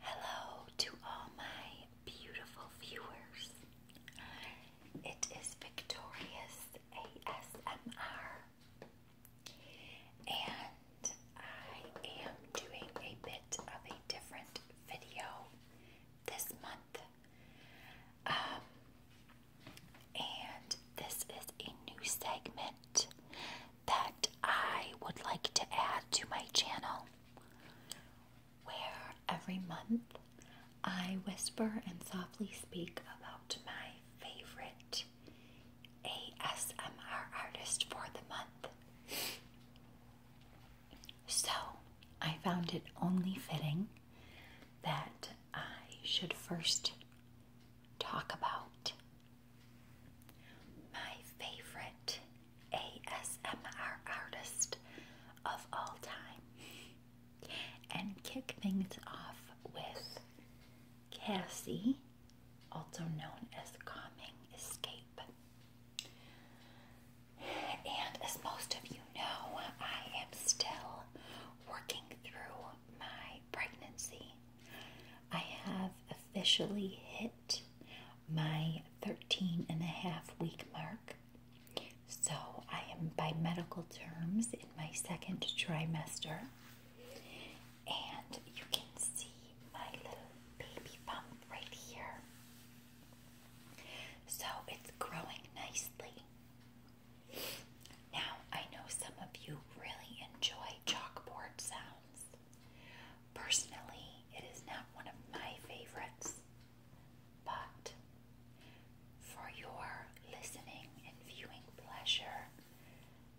Hello to all my beautiful viewers. It is Victorious ASMR, and I am doing a bit of a different video this month. Um, and this is a new segment that I would like to add to my channel, where every month I whisper and softly speak about my favorite ASMR artist for the month. So I found it only fitting that I should first talk about my favorite ASMR artist of all time. And kick things off with Cassie, also known as Calming Escape. And as most of you know, I am still working through my pregnancy. I have officially hit my 13 and a half week mark. So I am by medical terms in my second trimester. And you can see my little baby bump right here. So it's growing nicely. Now, I know some of you really enjoy chalkboard sounds. Personally, it is not one of my favorites, but for your listening and viewing pleasure,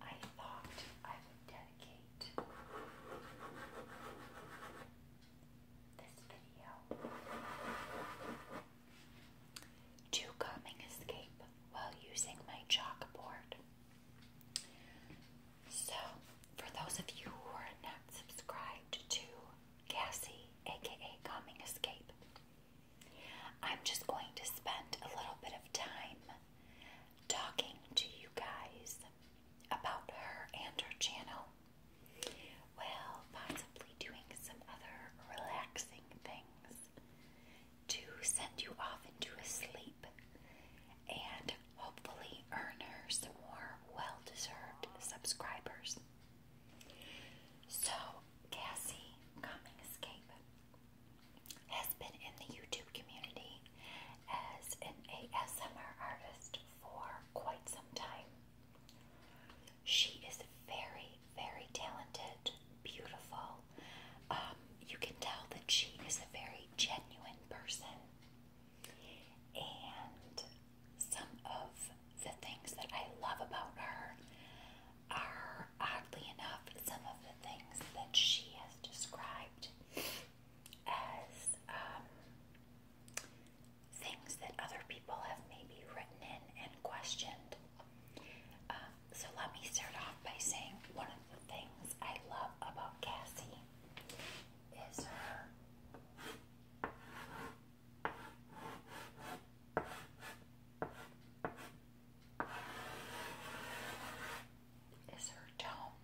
I thought I would dedicate this video to calming escape while using my chalkboard. So, for those of you who are not subscribed to Cassie, aka Coming Escape, I'm just going to spend a little bit of time talking to you guys about her and her channel. Well, possibly doing some other relaxing things to send you off into a sleep and hopefully earn her some more well deserved subscribers. So, Cassie Coming Escape has been in the YouTube community as an ASMR artist for quite some time. She is very, very talented beautiful. Um, you can tell that she is a very genuine person. And some of the things that I love about her are, oddly enough, some of the things that she has described as um, things that other people have maybe written in and questioned. Um, so let me start off by saying one of the things I love about Cassie is her is her tone.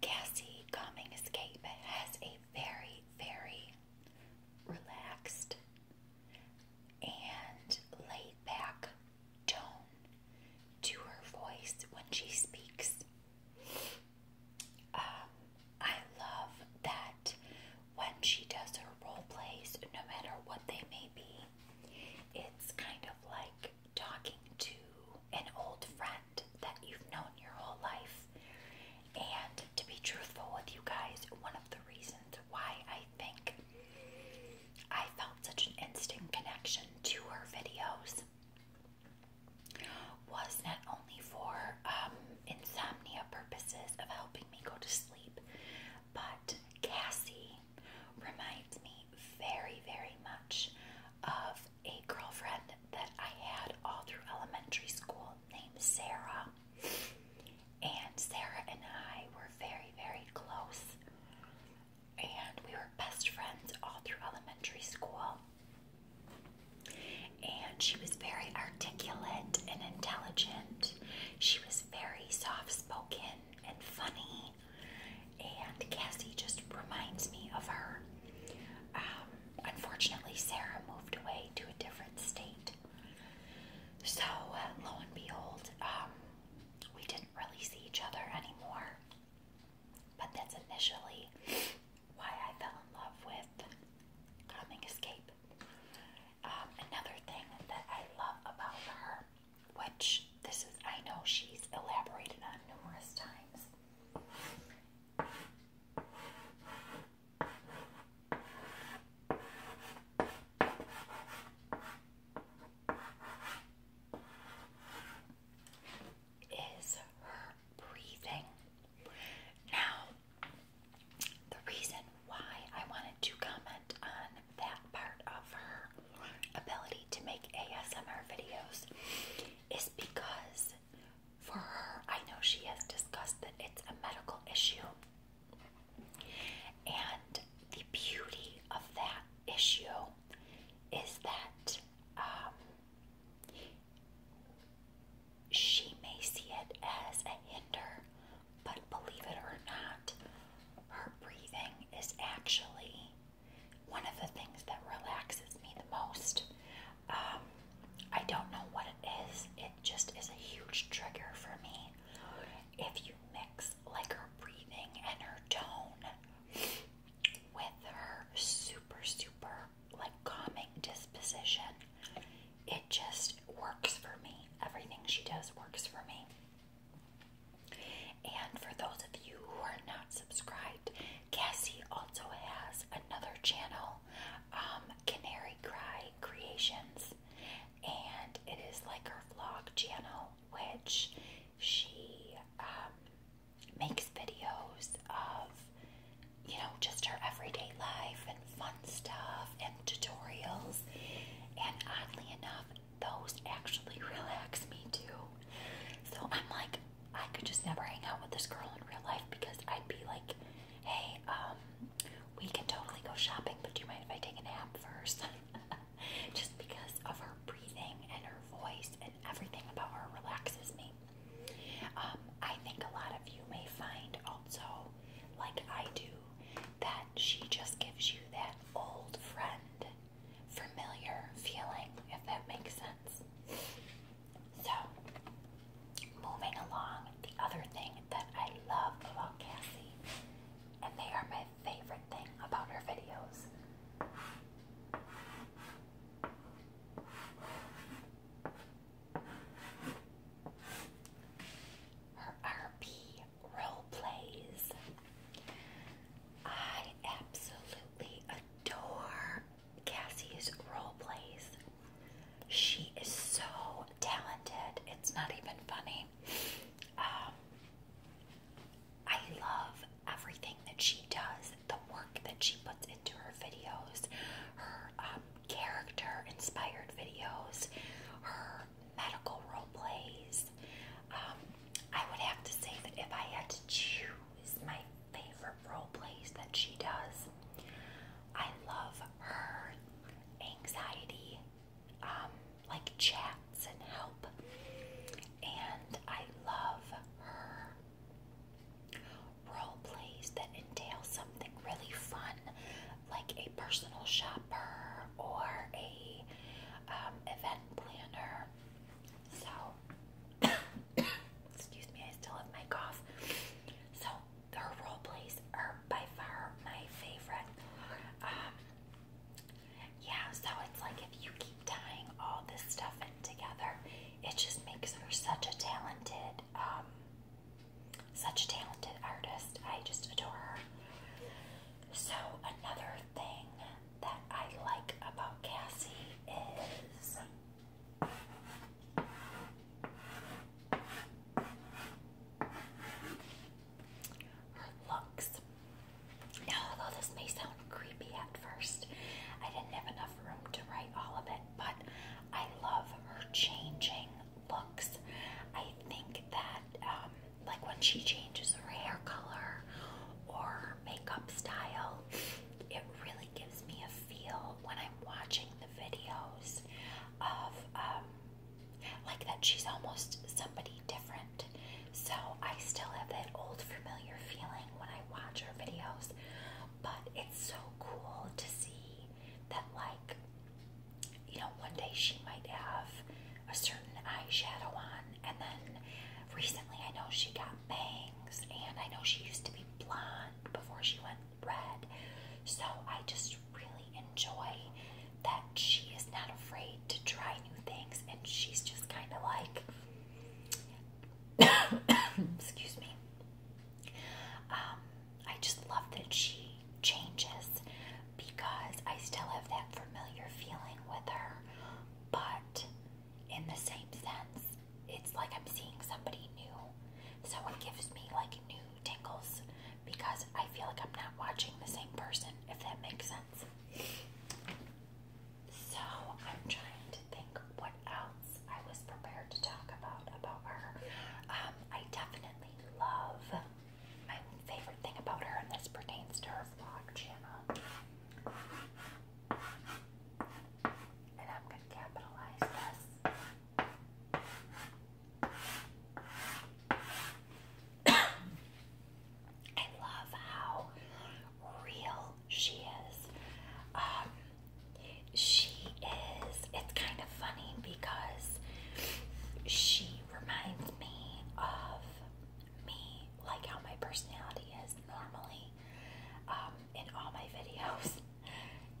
Cassie Coming Escape has a very, very relaxed and laid back tone to her voice when she speaks. Um, I love that when she does her role plays, no matter what they may be, it's kind of like talking to an old friend that you've known your whole life. And to be truthful with you guys, one of the reasons why I I think I felt such an instant connection to her videos was not only for um, insomnia purposes of helping me go to sleep, but Cassie reminds me very, very much of a girlfriend that I had all through elementary school named Sarah, and Sarah and I were very, very close, and we were best friends all through elementary school. And she was very articulate and intelligent. She was very soft spoken and funny. And Cassie just reminds me of her. Um, unfortunately, Sarah moved away to a different state. So uh, lo and behold, um, we didn't really see each other anymore. But that's initially why I fell in love with Coming Escape. Um, another thing that I love about her, which this is, I know she's elaborated on numerous times, is her breathing. Now, the reason why I wanted to comment on that part of her ability to make ASMR videos is because for her, I know she has discussed that it's a medical issue and the beauty of that issue is that um, she may see it as a hinder, but believe it or not, her breathing is actually one of the things that relaxes me the most. Um, I don't know what it is. It just is a huge trigger for me. If you mix like her breathing and her tone with her super super like calming disposition, it just works for me. Everything she does works for me. And for those of you who are not subscribed, Cassie also has another channel. Um, Canary Cry Creations, and it is like her vlog channel, which she um, makes videos of, you know, just her everyday life and fun stuff and tutorials. And oddly enough, those actually relax me too. So I'm like, I could just never hang out with this girl in real life because I'd be like, hey, um, we can totally go shopping, but do you mind if I take a nap first? Just because of her breathing and her voice and everything about her relaxes me. Um, I think a lot of you may find also, like I do, that she just gives you that old friend, familiar feeling, if that makes sense. So, moving along, the other thing that I love about Cassie, and they are my favorite thing about her videos. Her RP role plays. I absolutely adore Cassie's role plays. She is so talented. It's not even funny. Um, I love everything that she does, the work that she puts into her videos, her um, character inspired videos, her medical role plays. Um, I would have to say that if I had to choose my favorite role plays that she does. I love her anxiety, um, like chats and help, and I love her role plays that entail something really fun, like a personal shopper or a um, event planner. So. Excuse me, I still have my cough. So their role plays are by far my favorite. Um, yeah, so it's like if you keep tying all this stuff in together, it just makes her such a talented, um, such a talented artist. I just adore her. So another thing that I like about Cassie is looks. Now, although this may sound creepy at first, I didn't have enough room to write all of it, but I love her changing looks. I think that, um, like when she changes her hair color or makeup style, it really gives me a feel when I'm watching the videos of um, like that she's almost somebody different. So I still have that old familiar feeling when I watch her videos, but it's so cool to see that like you know one day she might have a certain eyeshadow on and then recently I know she got bangs and I know she used to be blonde before she went red. So I just really enjoy that she is not afraid to try new things and she's just kind of like, excuse me. Um, I just love that she changes because I still have that familiar feeling with her, but in the same sense. It's like I'm seeing somebody new. So it gives me like new tingles because I feel like I'm not watching the same person, if that makes sense. So I'm trying to think what else I was prepared to talk about about her. Um, I definitely love my favorite thing about her, and this pertains to her vlog channel. And I'm going to capitalize this. I love how real she is. Um, she is, it's kind of funny because she reminds me of me, like how my personality is normally. Um, in all my videos,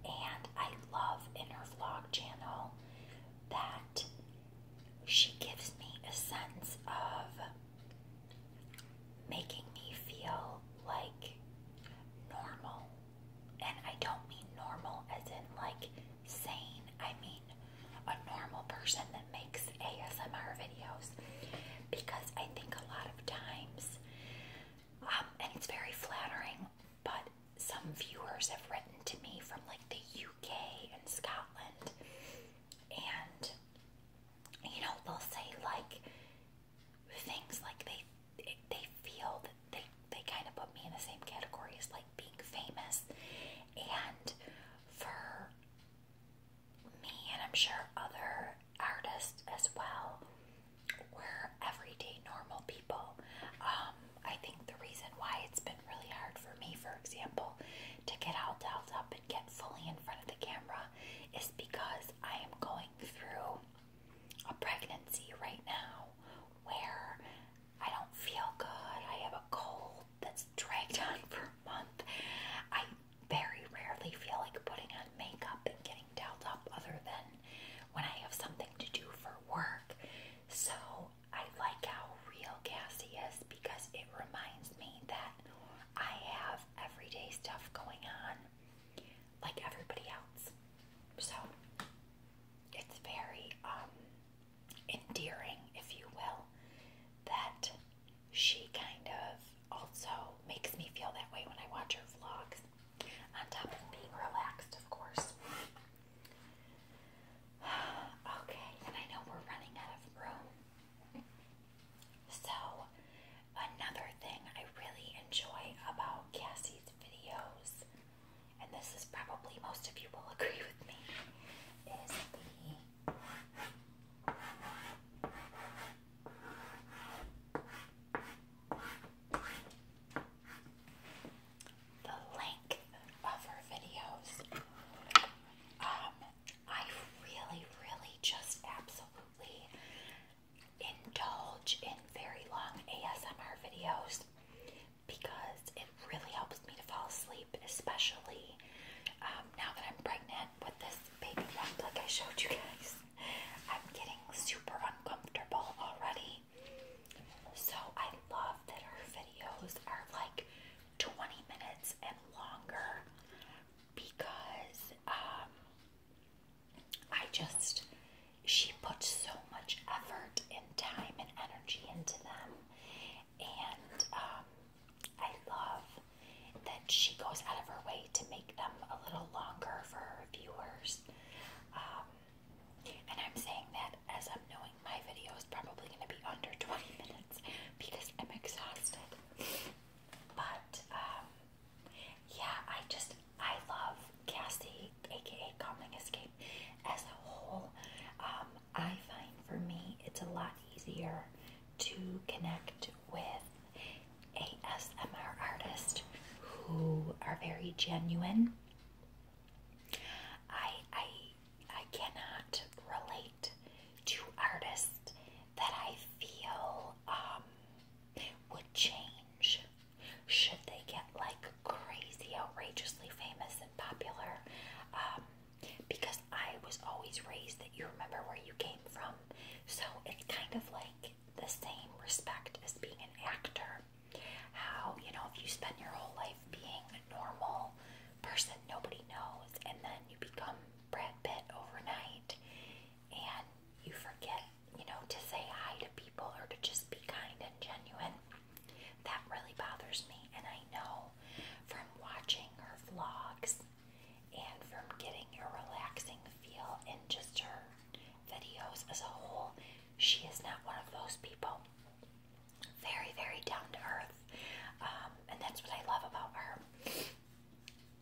and I love in her vlog channel that she gives me a sense of making me feel like normal. And I don't mean normal as in like sane, I mean a normal person that makes ASMR videos because I think a lot of times um, and it's very flattering, but some viewers have written to me from like the UK and Scotland, and you know, they'll say like things like they they feel that they they kind of put me in the same category as like being famous, and for me and I'm sure other artists as well, we everyday normal people. Um, I think the reason why it's been really hard for me, for example, to get all dolled up and get fully in front of the camera is because I am going through a pregnancy right now where I don't feel good. I have a cold that's dragged on for month. I very rarely feel like putting on makeup and getting dolled up, other than when I have something to do for work. So I like how real Cassie is because it reminds me that I have everyday stuff going on like everybody else. So it's very um, endearing, if you will, that she kind of also makes me feel that way when I watch her vlogs, on top of being relaxed, of course. okay, and I know we're running out of room. So, another thing I really enjoy about Cassie's videos, and this is probably most of you will agree with me, is the the length of her videos. Um, I really, really just absolutely indulge in very long ASMR videos because it really helps me to fall asleep, especially um, now that I'm pregnant with this baby wrap, like I showed you guys, I'm getting super uncomfortable already. So I love that her videos are like 20 minutes and longer because um, I just, she puts so much effort and time and energy into them. And um, I love that she goes out of her way to make them a little longer for her viewers. Um, and I'm saying that as I'm knowing my video is probably going to be under 20 minutes because I'm exhausted. But, um, yeah, I just, I love Cassie, aka Calming Escape, as a whole. Um, I find for me it's a lot easier to connect with ASMR artists who are very genuine. I I I cannot relate to artists that I feel um would change should they get like crazy outrageously famous and popular. Um, because I was always raised that you remember where you came from. So it's kind of like the same respect as being an actor. How, you know, if you spend your whole life being a normal person nobody knows, and then you become Brad Pitt overnight, and you forget, you know, to say hi to people or to just be kind and genuine. That really bothers me, and I know from watching her vlogs and from getting a relaxing feel in just her videos as a whole. She is not one of those people. Very, very down to earth. Um, and that's what I love about her.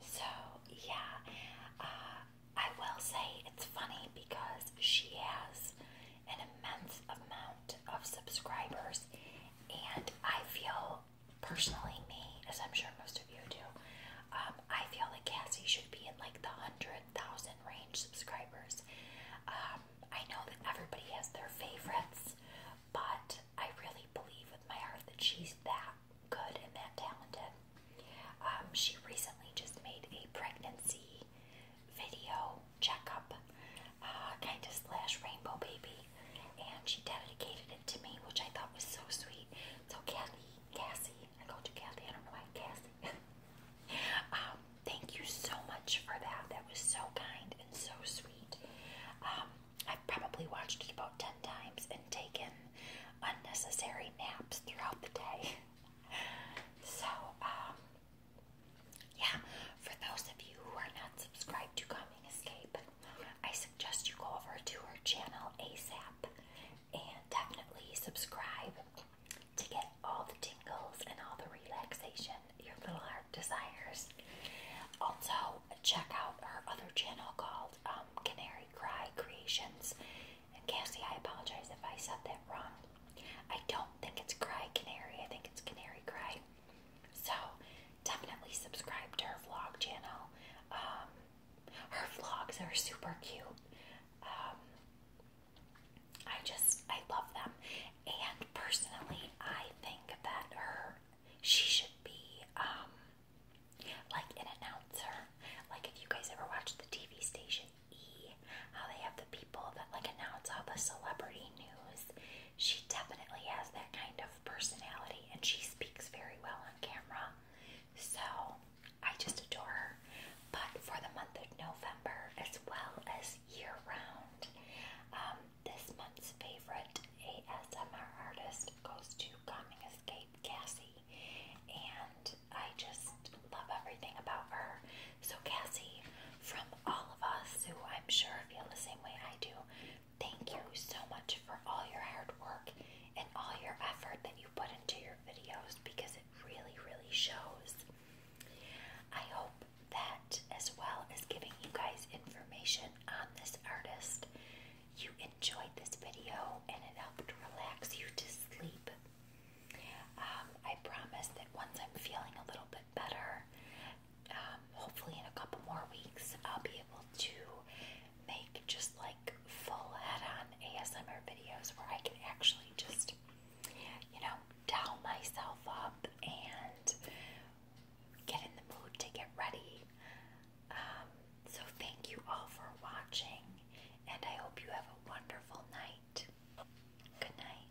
So, yeah, uh, I will say it's funny because she has an immense amount of subscribers, and I feel personally me, as I'm sure most of you do, um, I feel that Cassie should be in like the hundred thousand range subscribers. Um, I know that everybody has their favorites, but I really believe with my heart that she's that good and that talented. Um, she recently just made a pregnancy video checkup, uh, kind of slash rainbow baby and she dedicated it to me, which I thought was so sweet. So Kathy, Cassie, I go to Kathy. I don't know why Cassie. um, thank you so much for that. That was so kind and so sweet. Um, I've probably watched it about ten times and taken unnecessary naps throughout the day. so um, yeah, for those of you who are not subscribed to Coming Escape, I suggest you go over to our channel ASAP and definitely subscribe to get all the tingles and all the relaxation your little heart desires. Also, check out our other channel called um, Canary Cry Creations. And Cassie, I apologize if I said that wrong. I don't think it's Cry Canary, I think it's Canary Cry. So, definitely subscribe to her vlog channel. Um, her vlogs are super cute. Um, I just I love them, and personally, I think that her she should be um like an announcer. Like if you guys ever watch the TV station E, how they have the people that like announce all the celebrity news she definitely has that kind of personality and she speaks very well on camera. So I just adore her. But for the month of November, as well as year round, um, this month's favorite ASMR artist goes to Calming Escape Cassie. And I just love everything about her. So, Cassie, from all of us who I'm sure feel the same way I do. Thank you so much for all your hard work and all your effort that you put into your videos because it really, really shows. I hope that, as well as giving you guys information on this artist, you enjoyed this video and it helped relax you to sleep. Um, I promise that once I'm feeling a little bit better, um, hopefully in a couple more weeks I'll be able to make just like full head-on ASMR videos where I can actually just, you know, dial myself up and get in the mood to get ready. Um, so thank you all for watching, and I hope you have a wonderful night. Good night.